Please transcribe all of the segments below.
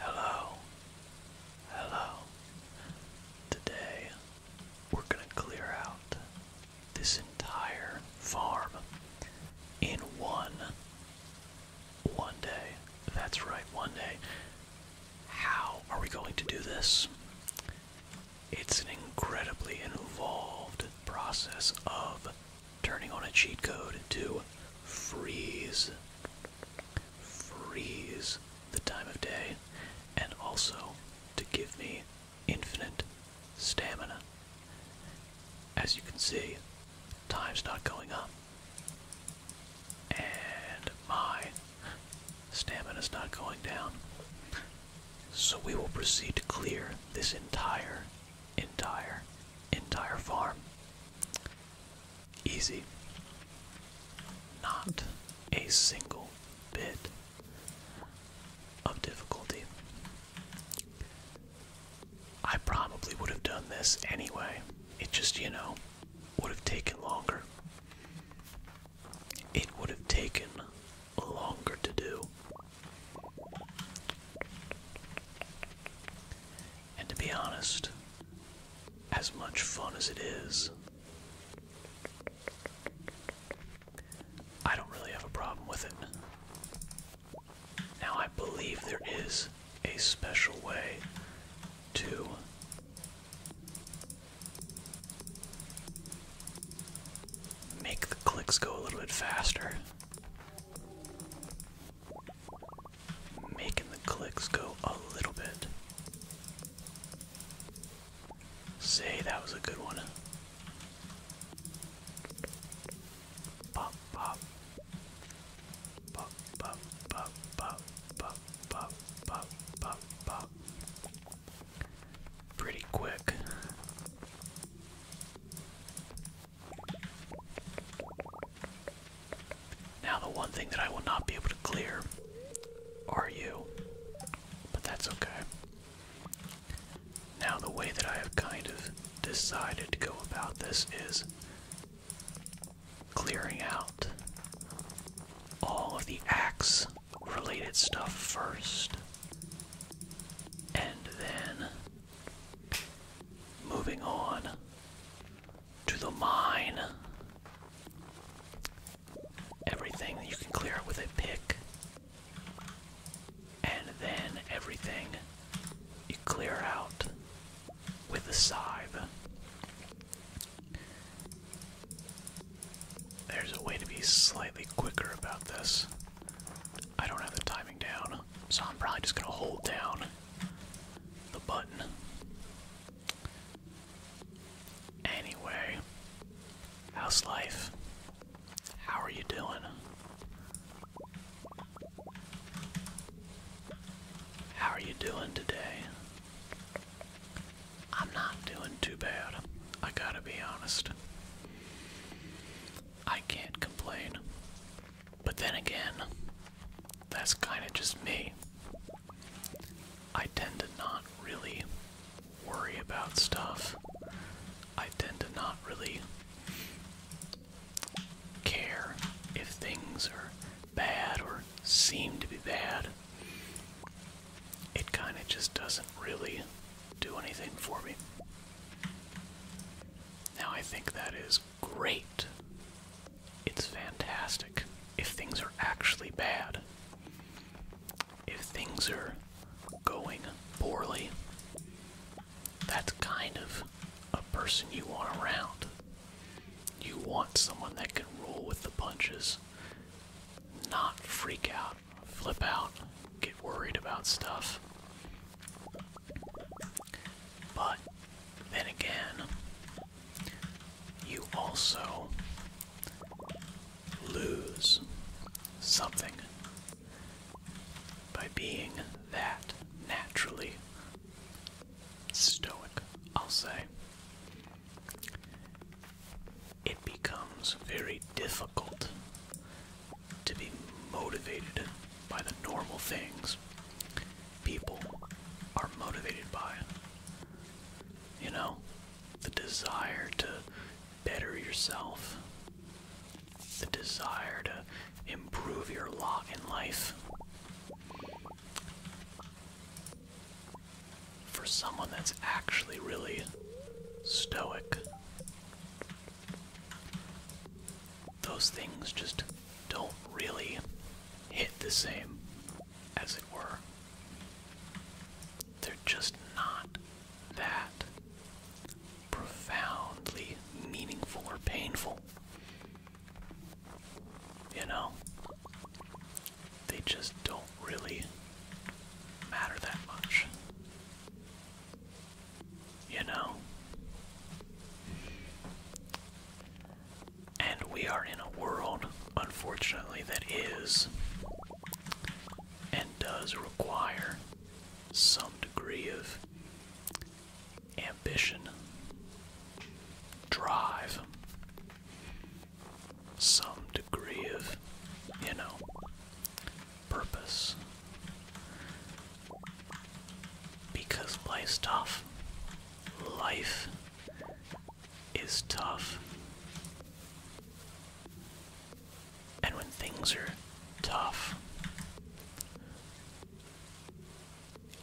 Hello. Hello. Today we're going to clear out this entire farm in one one day. That's right, one day. How are we going to do this? It's an incredibly involved process of turning on a cheat code to freeze freeze the time of day, and also to give me infinite stamina. As you can see, time's not going up. And my stamina's not going down. So we will proceed to clear this entire, entire, entire farm. Easy. Not a single bit of difficulty. I probably would have done this anyway. It just, you know, would have taken longer. It would have taken longer to do. And to be honest, as much fun as it is, I don't really have a problem with it. Now, I believe there is a special way to make the clicks go a little bit faster. Making the clicks go a little bit. Say that was a good one. Pop, pop. Pop, pop, pop, pop, pop, pop, pop, pop, Pretty quick. Now, the one thing that I will not be able to clear are you, but that's okay. Now, the way that I have kind of decided to go about this is clearing out all of the axe related stuff first, and then moving on to the mine. Everything you can clear with a pick. And then everything you clear out with a scythe. There's a way to be slightly quicker about this. I don't have the timing down, so I'm probably just gonna hold down the button. Anyway, how's life? How are you doing? How are you doing today? I'm not doing too bad. I gotta be honest. I can't complain. But then again, that's kind of just me. I tend to not really worry about stuff. I tend to not really care if things are bad or seem to be bad. It kind of just doesn't really do anything for me. Now I think that is great. It's fantastic if things are actually bad. If things are going poorly, that's kind of a person you want around. You want someone that can roll with the punches, not freak out, flip out, get worried about stuff. But then again, you also lose something by being that naturally stoic, I'll say. It becomes very difficult to be motivated by the normal things people are motivated by. You know, the desire to better yourself, the desire to improve your lot in life. For someone that's actually really stoic, those things just don't really hit the same, as it were. They're just not that profoundly meaningful or painful. You know? They just don't really matter that much. You know? And we are in a world, unfortunately, that is and does require some degree of ambition, drive, some degree of, you know, purpose. Because life's tough. Life is tough. And when things are tough,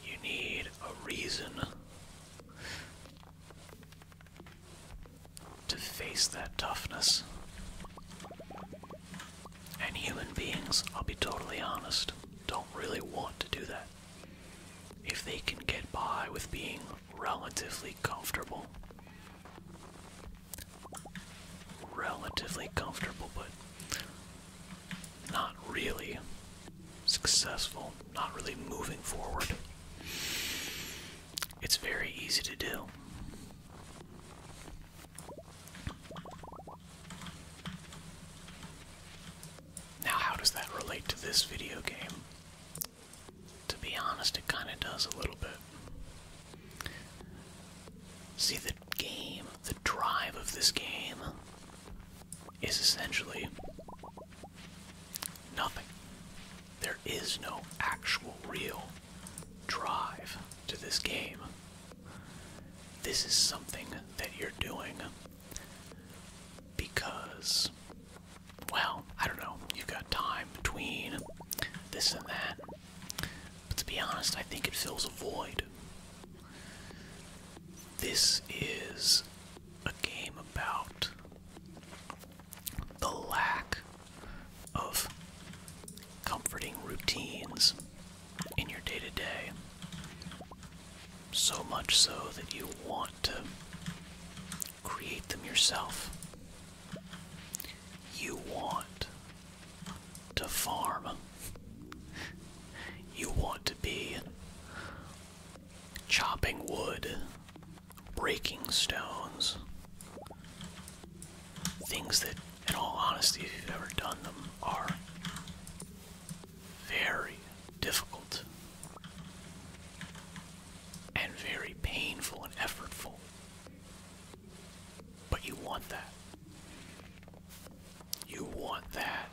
you need a reason to face that toughness. And human beings, I'll be totally honest, don't really want to do that if they can get by with being relatively comfortable. Relatively comfortable, but not really successful, not really moving forward. It's very easy to do. Now, how does that relate to this video game? To be honest, it kind of does a little bit. See, the game, the drive of this game is essentially nothing. There is no actual real drive to this game. This is something that you're doing because, well, I don't know, you've got time between this and that. But to be honest, I think it fills a void. This is a game about the lack of comforting routines in your day to day. So much so that you want to create them yourself. You want to farm. You want to be chopping wood, breaking stones, things that, in all honesty, if you've ever done them, are very difficult and very painful and effortful. But you want that. You want that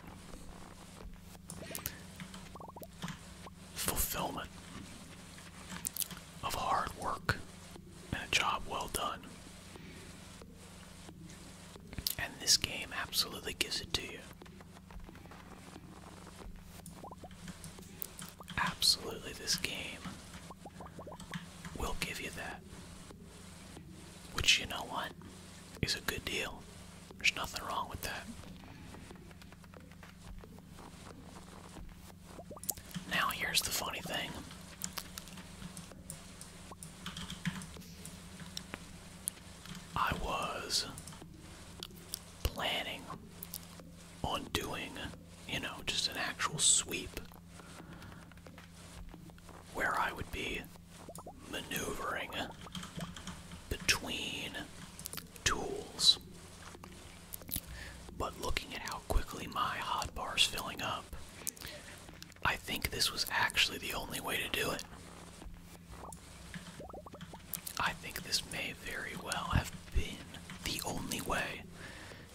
fulfillment of hard work and a job well done. And this game absolutely gives it to you. Absolutely, this game will give you that. Which, you know what, is a good deal. There's nothing wrong with that. Now, here's the funny thing I was planning on doing, you know, just an actual sweep where I would be maneuvering between tools. But looking at how quickly my hot bar is filling up, I think this was actually the only way to do it. I think this may very well have been the only way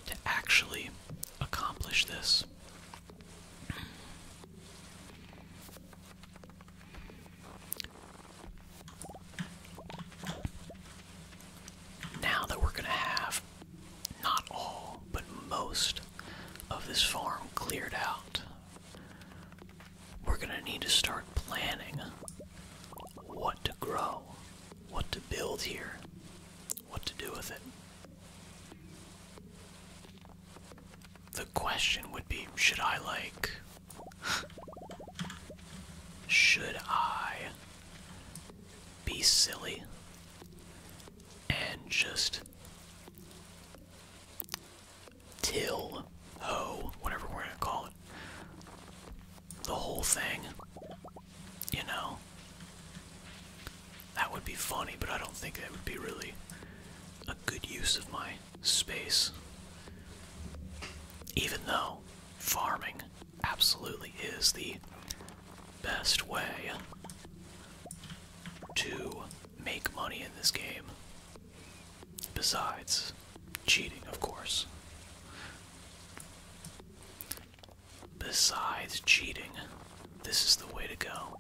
to actually accomplish this. Now that we're going to have not all, but most of this farm cleared out we're gonna need to start planning what to grow, what to build here, what to do with it. The question would be should I, like. should I be silly and just till ho, whatever we're gonna call it. The whole thing. You know? That would be funny, but I don't think that would be really a good use of my space. Even though farming absolutely is the best way to make money in this game. Besides cheating, of course. Besides cheating, this is the way to go.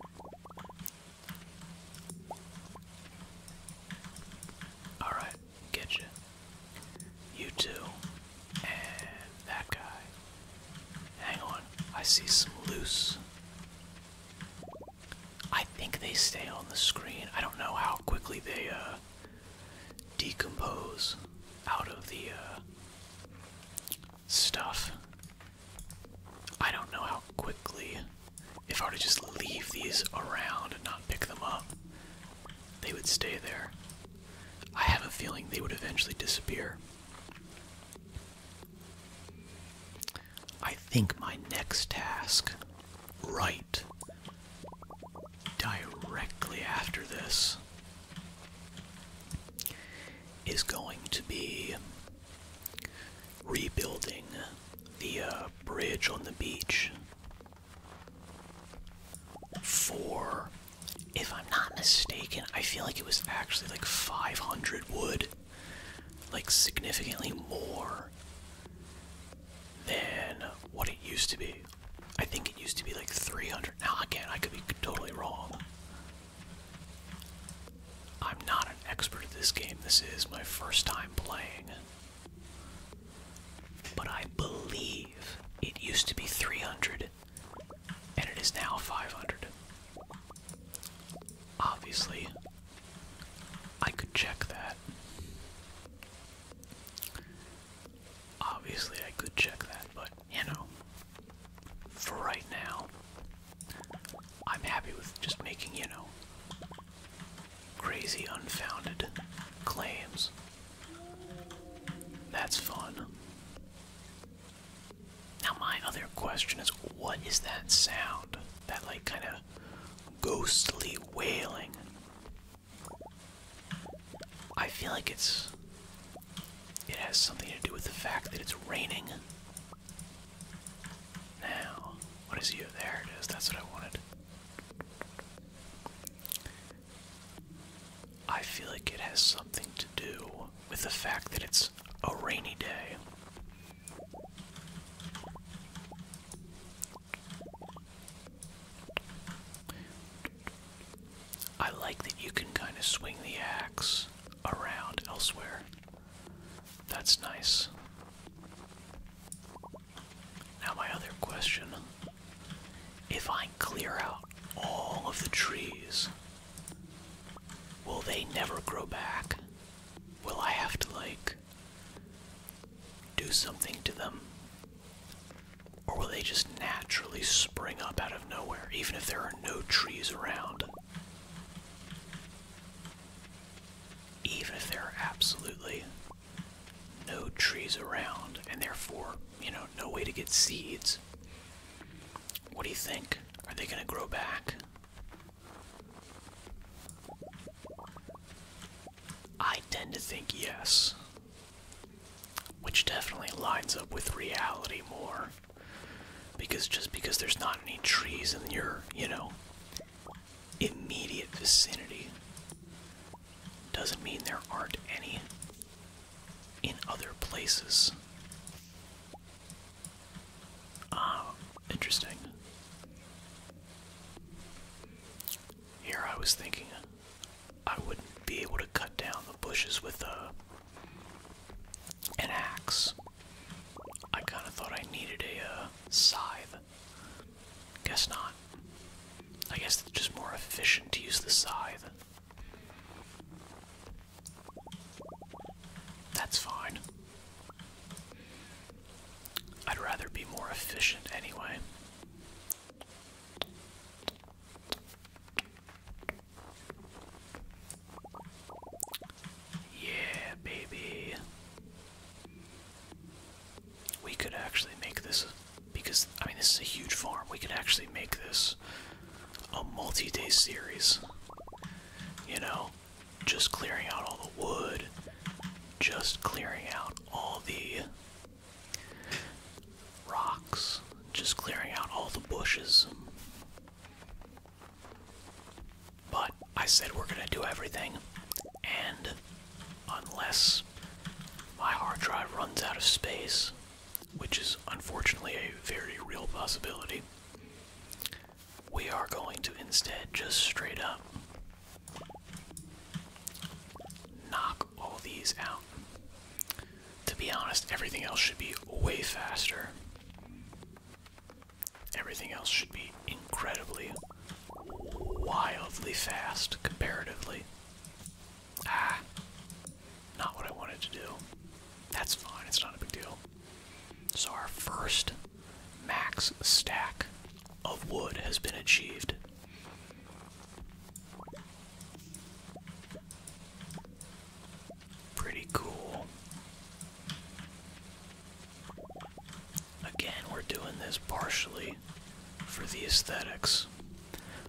Alright, get you. You two. And that guy. Hang on, I see some loose. I think they stay on the screen. I don't know how quickly they uh, decompose out of the uh, stuff. I don't know how quickly, if I were to just leave these around and not pick them up, they would stay there. I have a feeling they would eventually disappear. I think my next task, right directly after this, is going to be rebuilding the uh, bridge on the beach. For, if I'm not mistaken, I feel like it was actually like 500 wood like significantly more than what it used to be. I think it used to be like 300. Now again, I could be totally wrong. I'm not an expert at this game. This is my first time playing. But I believe it used to be 300 and it is now 500. Obviously, I could check that. Obviously, I could check that, but you know, for right now, I'm happy with just making, you know, crazy, unfounded claims. That's fun. Now, my other question is what is that sound? that like kind of ghostly wailing. I feel like it's it has something to do with the fact that it's raining. Now, what is you? There it is. That's what I wanted. I feel like it has something to do with the fact that it's a rainy day. I like that you can kind of swing the axe around elsewhere. That's nice. Now, my other question if I clear out all of the trees, will they never grow back? will I have to like do something to them? Or will they just naturally spring up out of nowhere, even if there are no trees around? Even if there are absolutely no trees around, and therefore, you know, no way to get seeds. What do you think? Are they gonna grow back? I tend to think yes, which definitely lines up with reality more. Because just because there's not any trees in your, you know, immediate vicinity doesn't mean there aren't any in other places. Ah, interesting. Here I was thinking I wouldn't be able to cut down the bushes with a an axe. I kind of thought I needed a uh, scythe. Guess not. I guess it's just more efficient to use the scythe. That's fine. I'd rather be more efficient anyway. Yeah, baby. We could actually make this because I mean this is a huge farm. We could actually make this a multi-day series. You know, just clearing out all the wood, just clearing out all the rocks, just clearing out all the bushes. But I said we're gonna do everything, and unless my hard drive runs out of space, which is unfortunately a very real possibility, we are going to instead just straight up knock all these out. To be honest, everything else should be way faster. Everything else should be incredibly, wildly fast comparatively. Ah, not what I wanted to do. That's fine, it's not a big deal. So our first max stack of wood has been achieved. Pretty cool. Again, we're doing this partially for the aesthetics,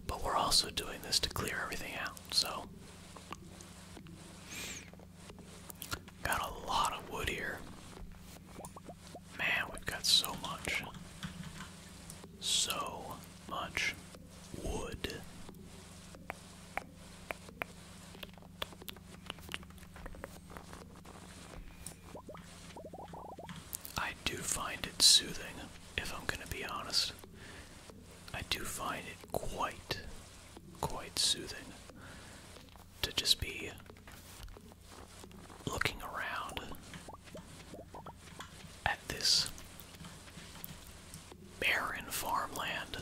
but we're also doing this to clear everything out, so Got a lot of wood here. Man, we've got so much. So much wood. I do find it soothing, if I'm gonna be honest. I do find it quite, quite soothing to just be looking around at this barren farmland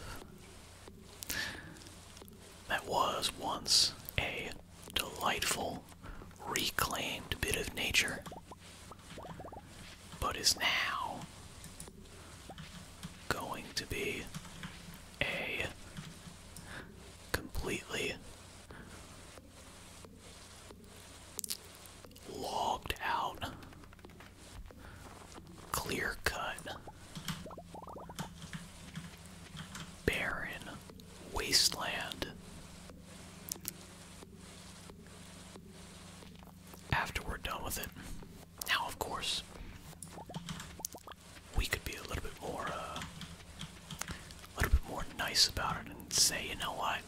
that was once a delightful, reclaimed bit of nature, but is now going to be a completely logged out, clear cut, barren wasteland. After we're done with it, now, of course, we could be a little bit more, uh, a little bit more nice about it and say, you know what?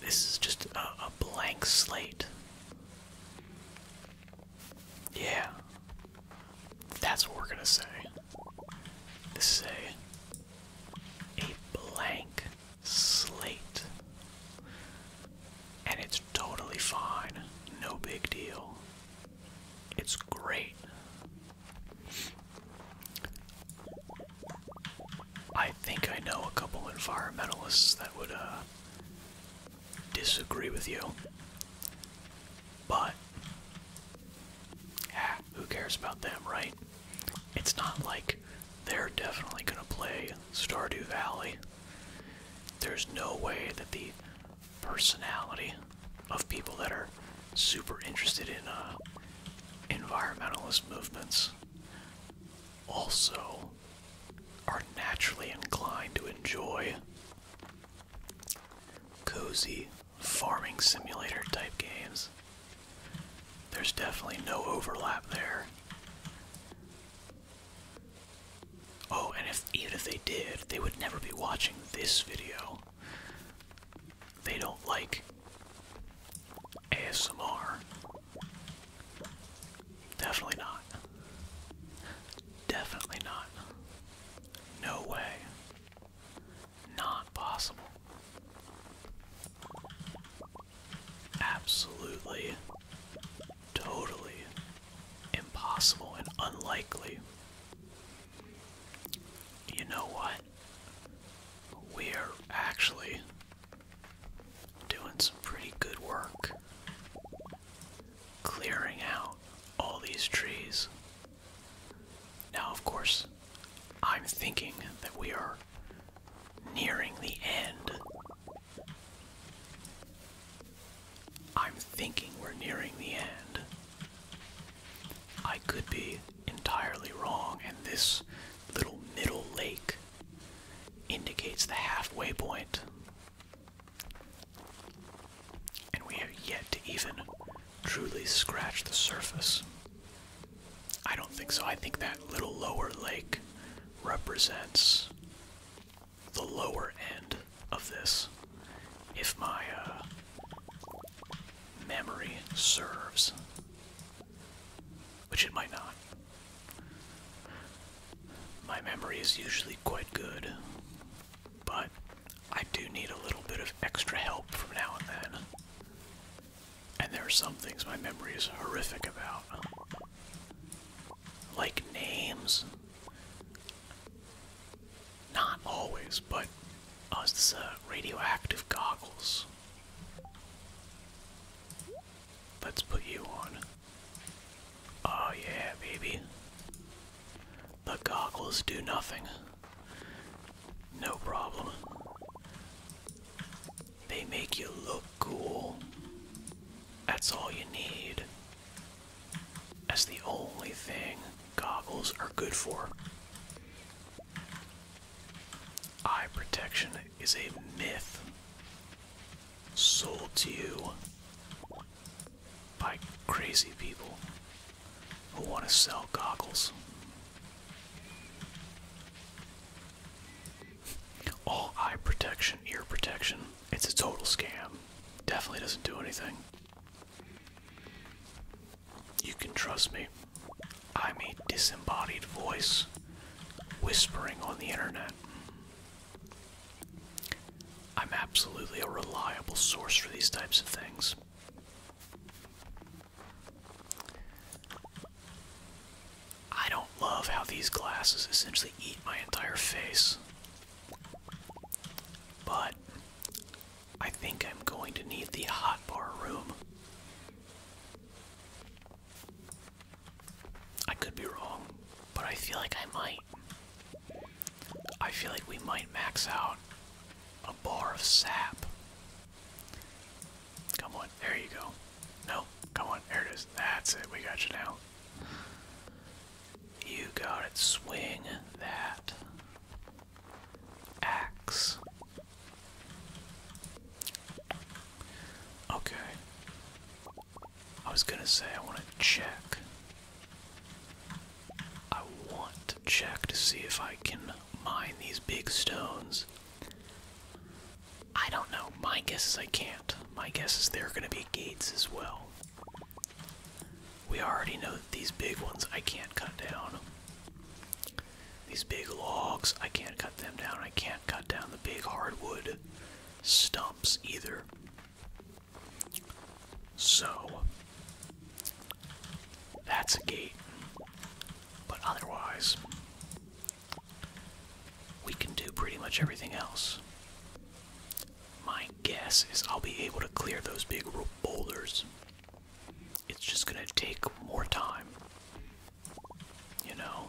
This is just a, blank slate. Yeah. That's what we're gonna say. This is a blank slate. And it's totally fine. No big deal. It's great. I think I know a couple environmentalists that would uh, disagree with you. But, ah, who cares about them, right? It's not like they're definitely going to play Stardew Valley. There's no way that the personality of people that are super interested in uh, environmentalist movements also are naturally inclined to enjoy cozy farming simulator type games. There's definitely no overlap there. Oh, and if even if they did, they would never be watching this video. They don't like ASMR. Definitely not. Definitely not. No way. Not possible. Absolutely totally impossible and unlikely. You know what? We're actually doing some pretty good work clearing out all these trees. Now, of course, I'm thinking that we are nearing the end I'm thinking we're nearing the end. I could be entirely wrong, and this little middle lake indicates the halfway And we have yet to even truly scratch the surface. I don't think so. I think that little lower lake represents the lower end of this, if my uh, memory serves, which it might not. My memory is usually quite good, but I do need a little bit of extra help from now and then. And there are some things my memory is horrific about. Like names. Not always, but us uh, radioactive goggles. Let's put you on. Oh yeah, baby. The goggles do nothing. No problem. They make you look cool. That's all you need. That's the only thing goggles are good for. Eye protection is a myth sold to you by crazy people who want to sell goggles. All eye protection, ear protection, it's a total scam. Definitely doesn't do anything. You can trust me. I'm a disembodied voice whispering on the internet. I'm absolutely a reliable source for these types of things. I don't love how these glasses essentially eat my entire face. But I think I'm going to need the hot bar room. I could be wrong, but I feel like I might. I feel like we might max out a bar of sap. Come on, there you go. No, come on, there it is. That's it, we got you now. You got it. Swing that axe. Okay. I was gonna say I want to check. I want to check to see if I can mine these big stones. I don't know. My guess is I can't. My guess is there are gonna be gates as well. We already know that these big ones I can't cut down. These big logs, I can't cut them down. I can't cut down the big hardwood stumps either. So, that's a gate. But otherwise, we can do pretty much everything else. My guess is I'll be able to clear those big boulders. It's just gonna take more time. You know?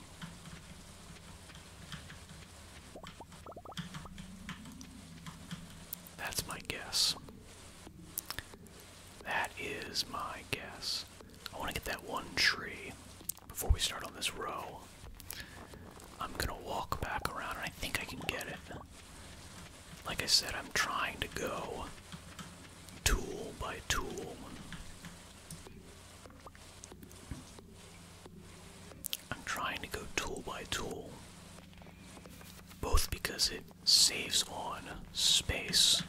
That's my guess. That is my guess. I want to get that one tree before we start on this row. I'm gonna walk back around and I think I can get it. Like I said, I'm trying to go tool by tool. I'm trying to go tool by tool. Both because it saves on space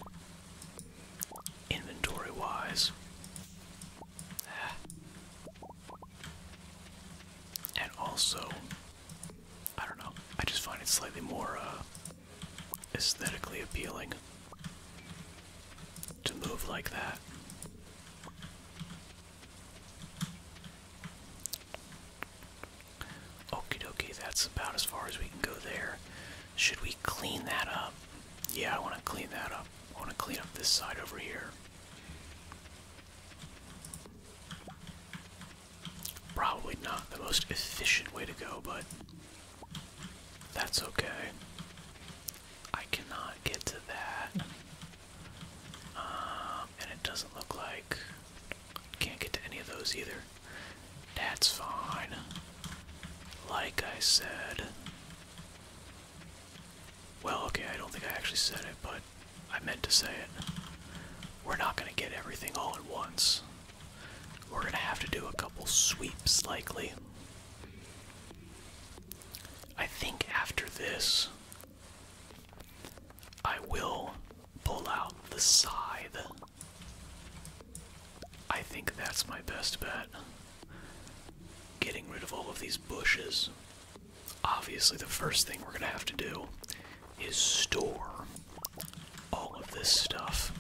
inventory wise. Ah. And also, I don't know, I just find it slightly more uh, aesthetically appealing to move like that. Okie dokie, that's about as far as we can go there. Should we clean that up? Yeah, I want to clean that up. I want to clean up this side over here. Probably not the most efficient way to go, but that's okay. I cannot get to that. Um, and it doesn't look like. I Can't get to any of those either. That's fine. Like I said, well, okay, I don't think I actually said it, but I meant to say it. We're not going to get everything all at once. We're going to have to do a couple sweeps, likely. I think after this, I will pull out the scythe. I think that's my best bet. Getting rid of all of these bushes obviously the first thing we're going to have to do is store all of this stuff.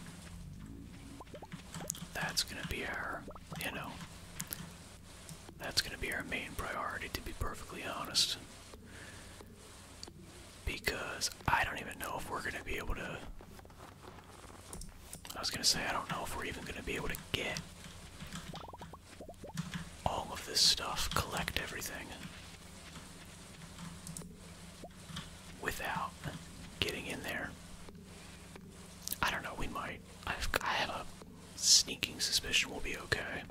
That's going to be our, you know, that's going to be our main priority, to be perfectly honest. Because I don't even know if we're going to be able to. I was going to say, I don't know if we're even going to be able to get all of this stuff, collect everything without getting in there. I don't know, we might. I've, a sneaking suspicion we'll be okay.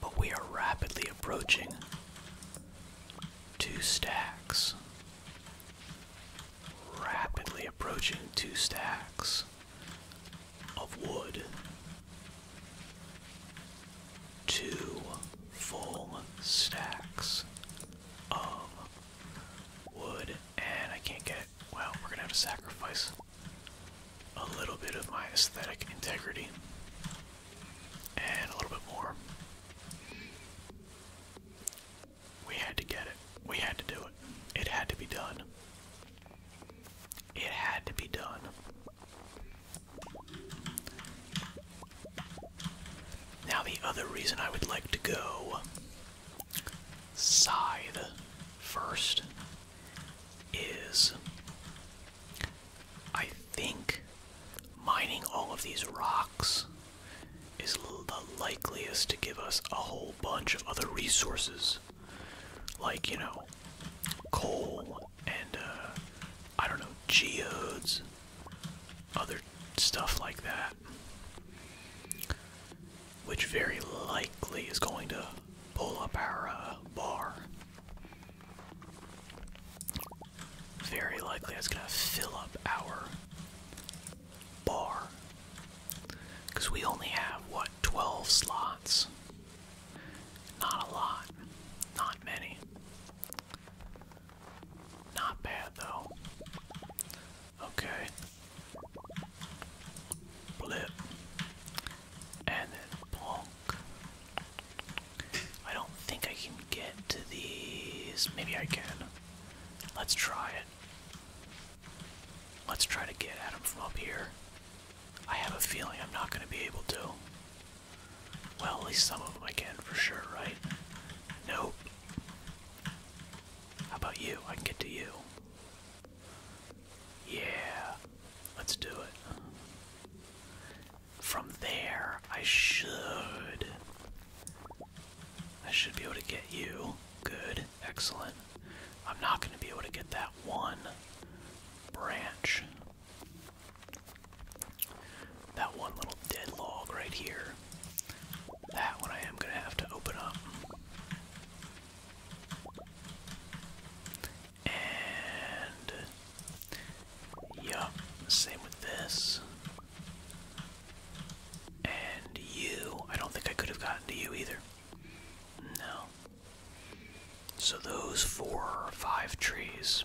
But we are rapidly approaching two stacks. Rapidly approaching two stacks of wood two full stacks of wood and I can't get well we're gonna have to sacrifice a little bit of my aesthetic integrity and a little bit more we had to get it we had to do it it had to be done it had to be done. Now, the other reason I would like to go scythe first is I think mining all of these rocks is the likeliest to give us a whole bunch of other resources like, you know, coal and, uh, I don't know, geodes, other stuff like that. Which very likely is going to pull up our uh, bar. Very likely that's going to fill up our bar. Because we only have, what, 12 slots? Not a lot. Not many. Not bad, though. Okay. Blip. And then I don't think I can get to these. Maybe I can. Let's try it. Let's try to get at him from up here. I have a feeling I'm not going to be able to. Well, at least some of them I can for sure, right? Nope. How about you? I can get to you. Yeah, let's do it. From there, I should. I should be able to get you. Good. Excellent. I'm not going to be able to get that one branch. That one little dead log right here. That one I am going to have to open up. And. Yup, same with this. And you. I don't think I could have gotten to you either. No. So those four or five trees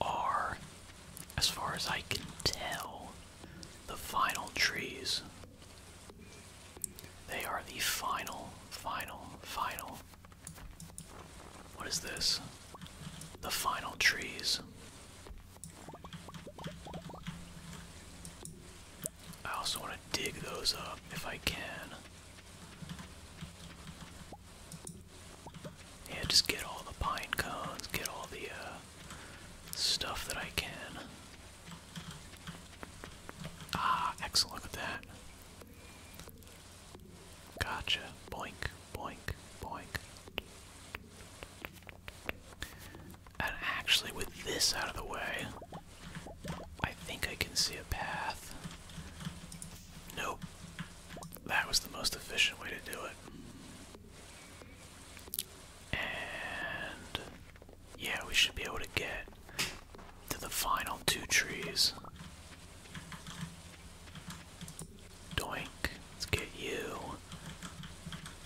are, as far as I can tell, the final trees. They are the final, final, final. What is this? The final trees. I also want to dig those up if I can. Yeah, just get all the pine cones, get all the uh, stuff that I can. Ah, excellent, look at that. Gotcha. Boink, boink, boink. And actually, with this out of the way, I think I can see a path. Nope. That was the most efficient way to do it. And yeah, we should be able to get to the final two trees. Doink. Let's get you.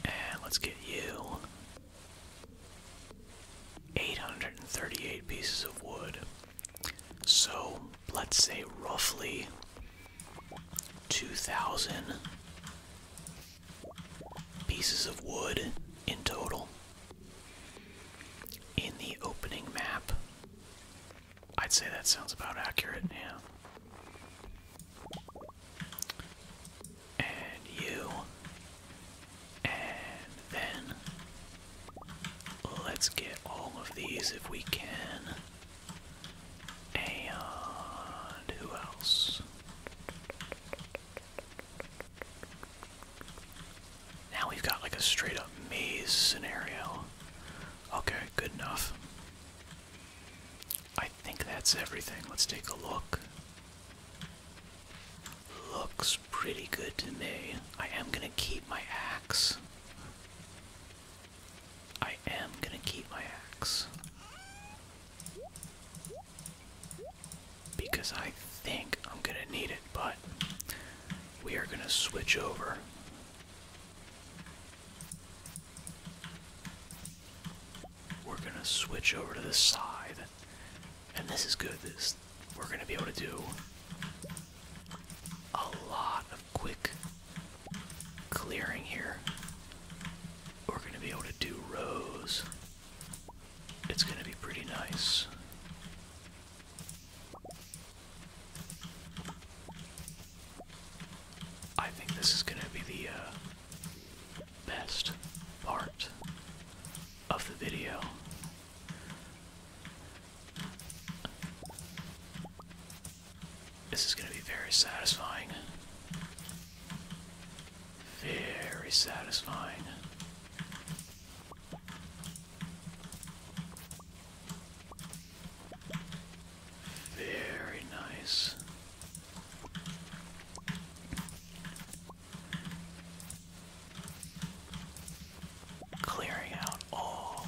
And let's get you. 838 pieces of wood. So let's say roughly 2,000 pieces of wood in total. In the opening map, I'd say that sounds about accurate, yeah and you, and then let's get all of these if we can. And who else? Now we've got like a straight up maze scenario. Okay, good enough. I think that's everything. Let's take a look. Looks pretty good to me. I am gonna keep my axe. I am gonna keep my axe. Because I think I'm gonna need it, but we are gonna switch over we're gonna switch over to the side, and this is good. This we're gonna be able to do a lot of quick clearing here. We're gonna be able to do rows. It's gonna be pretty nice. I think this is gonna be the uh, best part of the video. This is going to be very satisfying. Very satisfying. Very nice. Clearing out all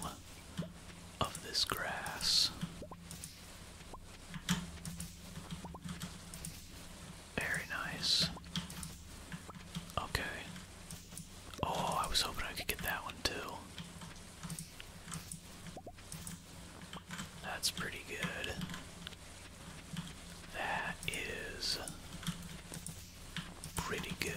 of this grass. Very nice. Okay. Oh, I was hoping I could get that one too. That's pretty good. That is pretty good.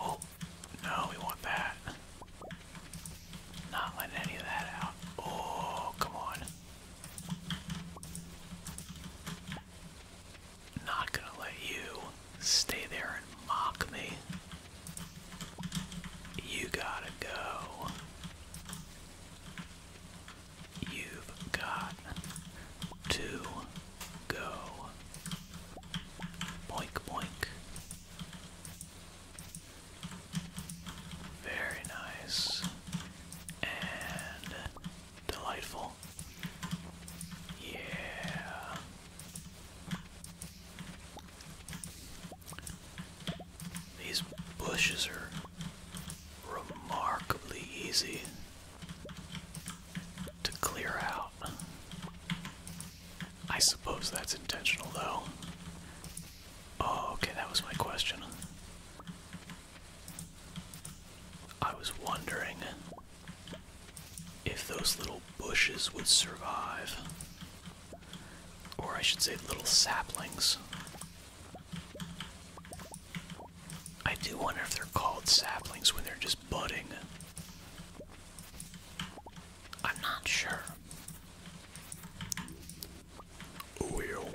Oh, no, we want that. Not letting any of that out. Oh, come on. Not gonna let you stay there and mock me. You gotta go. You've got to go. Boink, boink. Very nice. And Delightful. Yeah. These bushes are remarkably easy to clear out. I suppose that's intentional, though. Oh, okay, that was my question. I was wondering if those little bushes would survive. Or I should say, little saplings. I do wonder if they're called saplings when they're just budding. I'm not sure. Well.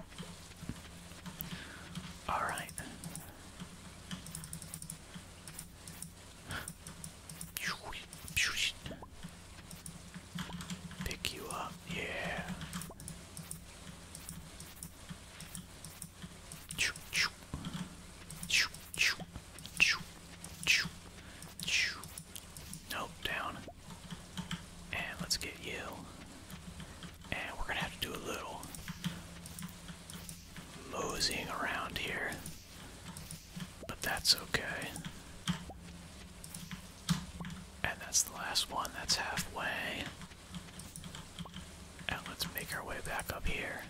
Alright. Pick you up, yeah. Nope, down. And let's get you. And we're gonna have to do a little moseying around here. But that's okay. And that's the last one, that's halfway. And let's make our way back up here.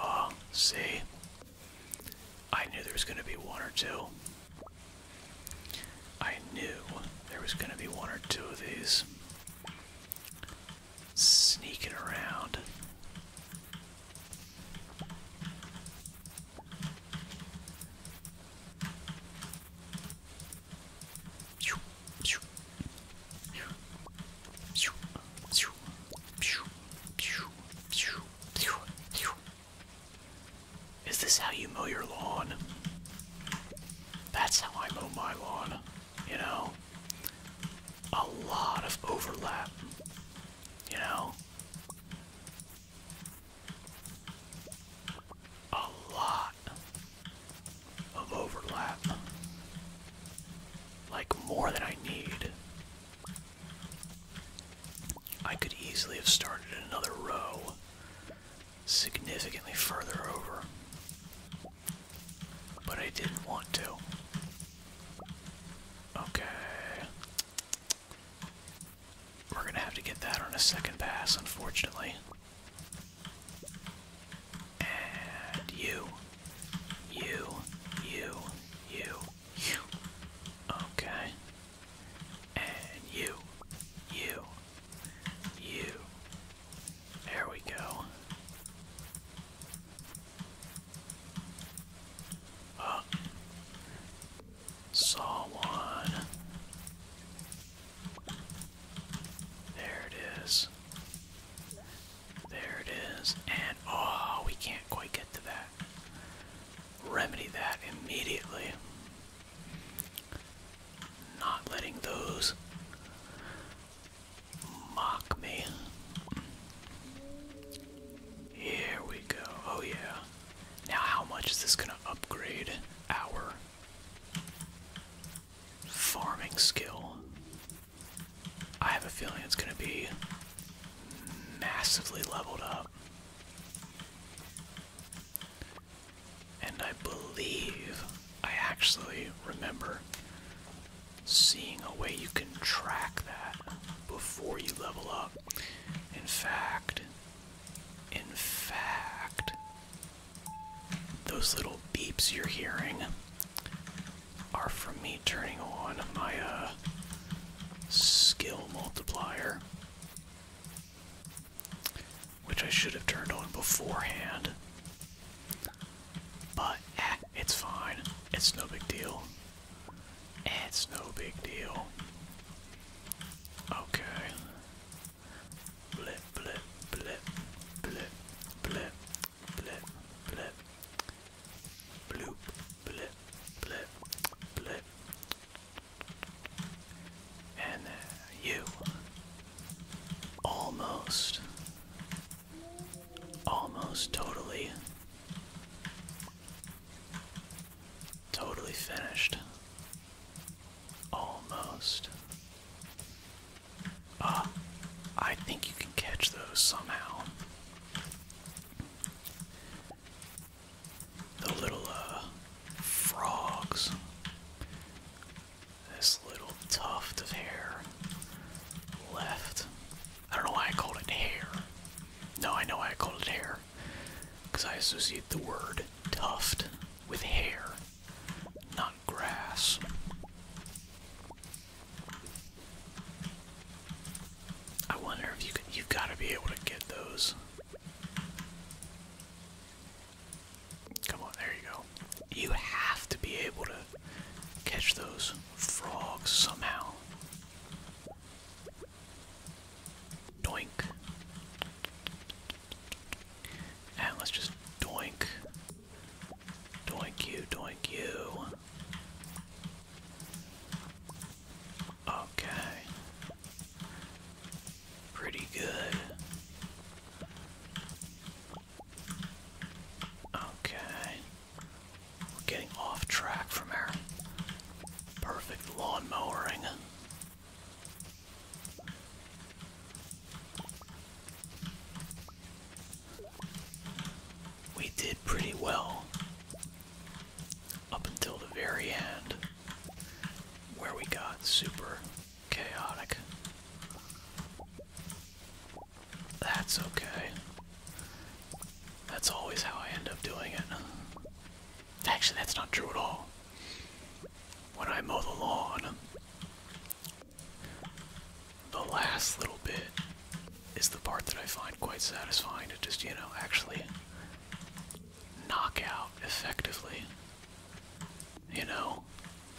Oh, see? I knew there was going to be one or two. I knew there was going to be one or two of these sneaking around. Is this how you mow your lawn? That's how I mow my lawn, you know? A lot of overlap, you know? A lot of overlap. Like more than I need. I could easily have started another row significantly further over. But I didn't want to. Okay. We're gonna have to get that on a second pass, unfortunately. And you, you, you, you, you. Okay. And you. You. You. There we go. Oh. Saw one. There it is. There it is. And oh, we can't quite get to that remedy that immediately. Not letting those mock me. Here we go. Oh, yeah. Now, how much is this going to upgrade our farming skill? I have a feeling it's going to be massively leveled up. And I believe I actually remember seeing a way you can track that before you level up. In fact, in fact, those little beeps you're hearing are from me turning on my uh, skill multiplier, which I should have turned on beforehand. But eh, it's fine. It's no big deal. It's no big deal. Okay. Blip, blip, blip, blip, blip, blip, blip. Bloop, blip, blip, blip, and uh, you almost, almost totally, totally finished. Almost. Ah, I think you can catch those somehow the little uh, frogs. This little tuft of hair left. I don't know why I called it hair. No, I know why I called it hair. Because I associate the word tuft with hair, not grass. I wonder if you could, you've got to be able to get those. Come on, there you go. You have to be able to catch those frogs somehow. Doink. And let's just doink. Doink you, doink you. Okay. Pretty good. Okay. We're getting off track from our perfect lawn mowing. We did pretty well up until the very end where we got super chaotic. That's okay. That's always how I end up doing it. Actually, that's not true at all. When I mow the lawn, the last little bit is the part that I find quite satisfying to just, you know, actually knockout effectively. You know,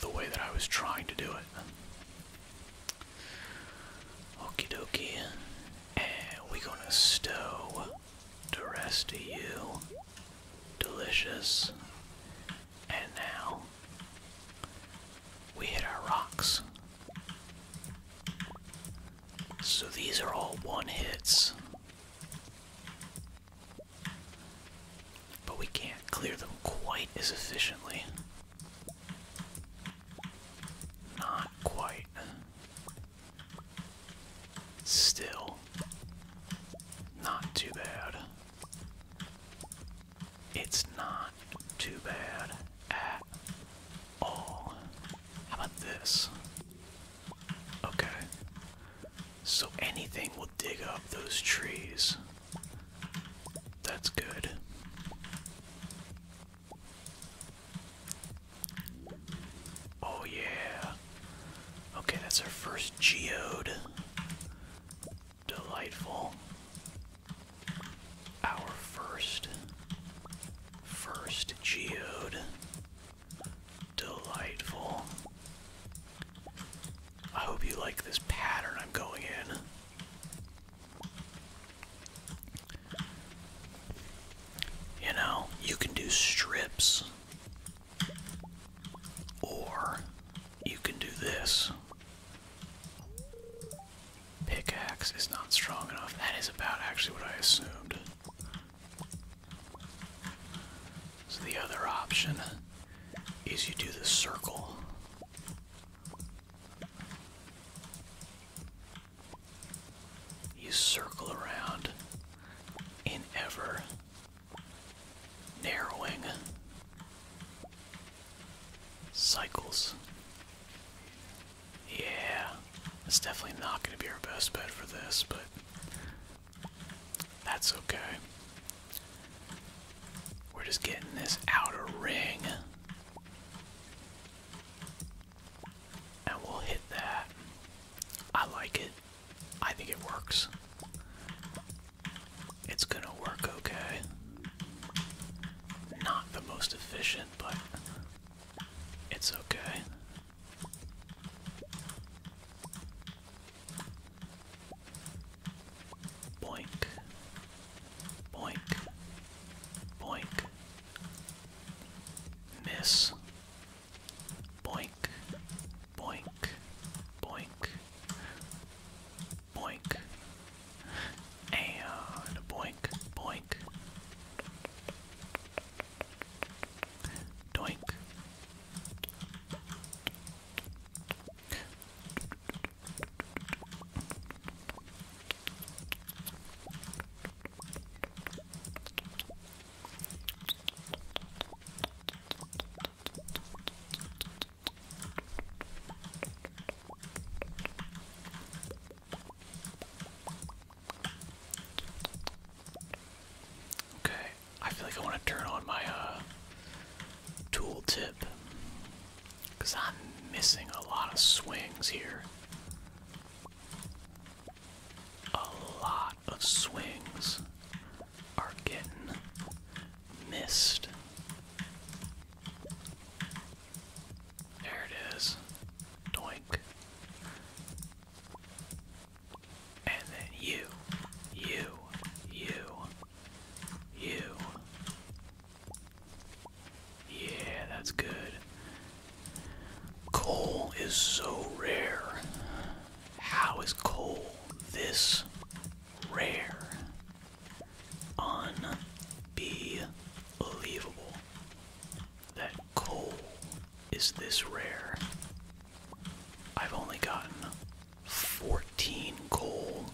the way that I was trying to do it. Okie dokie. And we gonna stow the rest of you. Delicious. And now we hit our rocks. So these are all one hits. But we can't clear them quite as efficiently. Not quite. Still, not too bad. It's not too bad at Oh, how about this? Okay. So anything will dig up those trees. That's good. Oh, yeah. Okay, that's our first geode. Delightful. Our first First Geode. Delightful. I hope you like this pattern I'm going in. You know, you can do strips, or you can do this. Pickaxe is not strong enough. That is about actually what I assumed. So the other option is you do the circle. You circle around in ever narrowing cycles. Yeah, it's definitely not going to be our best bet for this, but that's okay. We're just getting this outer ring. And we'll hit that. I like it. I think it works. It's gonna work okay. Not the most efficient, but it's okay. Boink. Boink. Boink. Miss. Boink. Boink. Boink. Boink. And boink. Boink. Doink. Okay, I feel like I want to turn on my uh, tool because I'm missing a lot of swings here. A lot of swings are getting missed. There it is. Doink. And then you, you, you, you. Yeah, that's good. Coal is so rare. How is coal this rare? Unbelievable that coal is this rare. I've only gotten 14 coal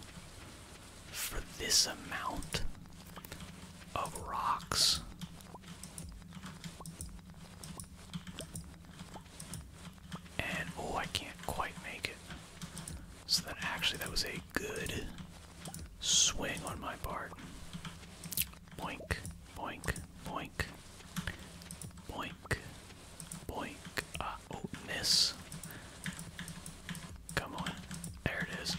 for this amount of rocks. And oh, I can't quite make it. So that actually that was a good swing on my part. Boink, boink, boink, boink, boink. Ah, oh, miss. Come on, there it is.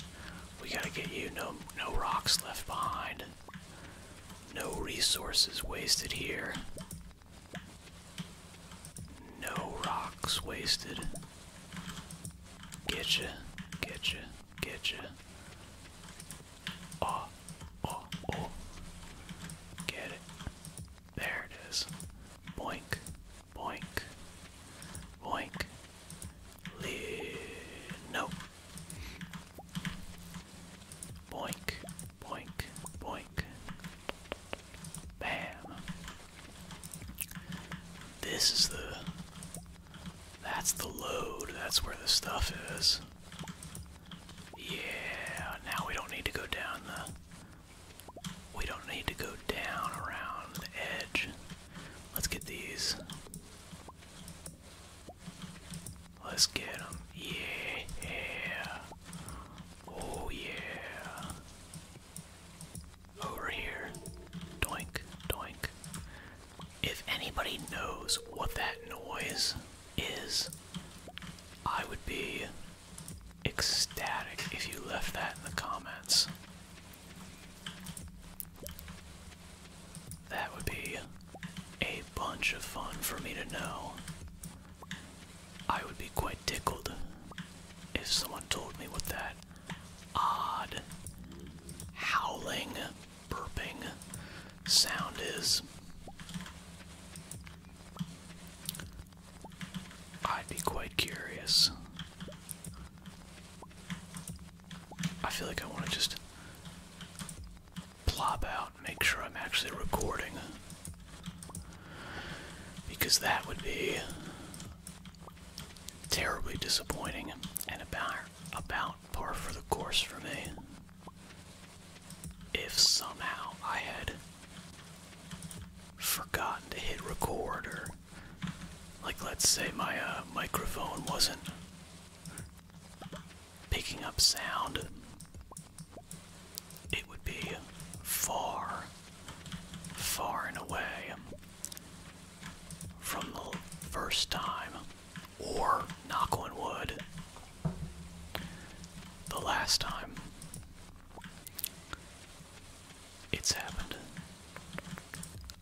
We gotta get you. No, no rocks left behind. No resources wasted here. No rocks wasted. Getcha, getcha, get you. Oh, ah, oh, ah, oh. Ah. Get it. There it is. Boink, boink, boink. no. Boink, boink, boink. Bam. This is the that's the load. That's where the stuff is. Yeah, now we don't need to go down the. We don't need to go down around the edge. Let's get these. Let's get them. Yeah. Oh, yeah. Over here. Doink, doink. If anybody knows what that noise is, I would be ecstatic if you left that in the comments. That would be a bunch of fun for me to know. I would be quite tickled if someone told me what that odd howling burping sound is. I'd be quite curious. I feel like I want to just plop out make sure I'm actually recording. Because that would be terribly disappointing and about about par for the course for me. If somehow I had forgotten to hit record, or like let's say my uh, microphone wasn't picking up sound, it would be far, far and away from the first time or knock on wood, the last time it's happened.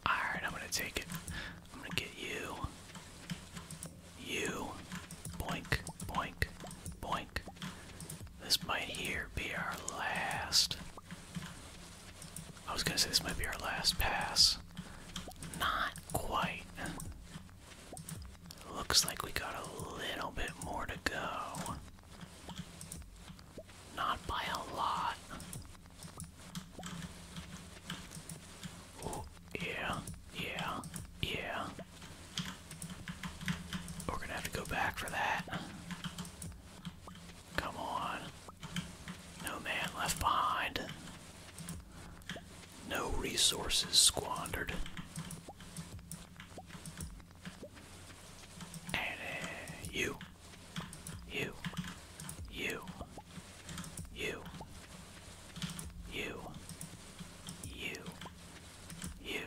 Alright, I'm gonna take it. I'm gonna get you. You. Boink, boink, boink. This might here be our last. I was gonna say this might be our last pass. Not quite. Looks like we got a little bit more to go. Not by a lot. yeah, yeah, yeah. We're gonna have to go back for that. Come on. No man left behind. No resources squandered. And uh, you, you, you, you, you, you, you,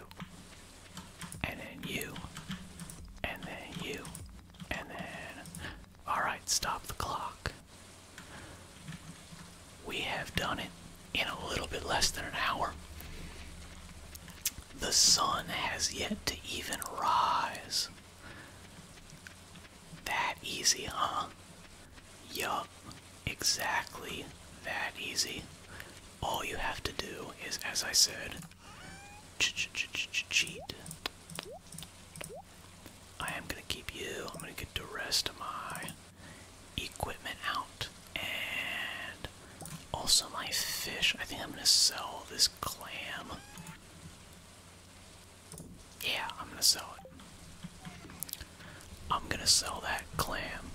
and then you, and then you, and then Alright, stop the clock. We have done it in a little bit less than an hour. The sun has yet to even rise. That easy, huh? Yup, exactly that easy. All you have to do is, as I said, ch -ch -ch -ch cheat. I am gonna keep you. I'm gonna get the rest of my equipment out and also my fish. I think I'm gonna sell this clam. Yeah, I'm gonna sell it. I'm gonna sell that clam.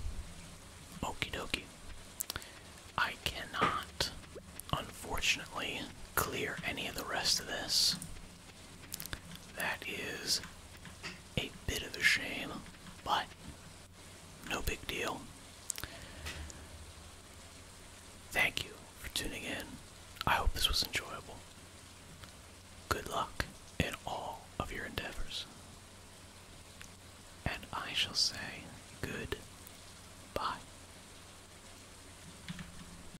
Okie dokie. I cannot, unfortunately, clear any of the rest of this. That is a bit of a shame, but no big deal. Thank you for tuning in. I hope this was enjoyable. Good luck in all of your endeavors. And I shall say good bye.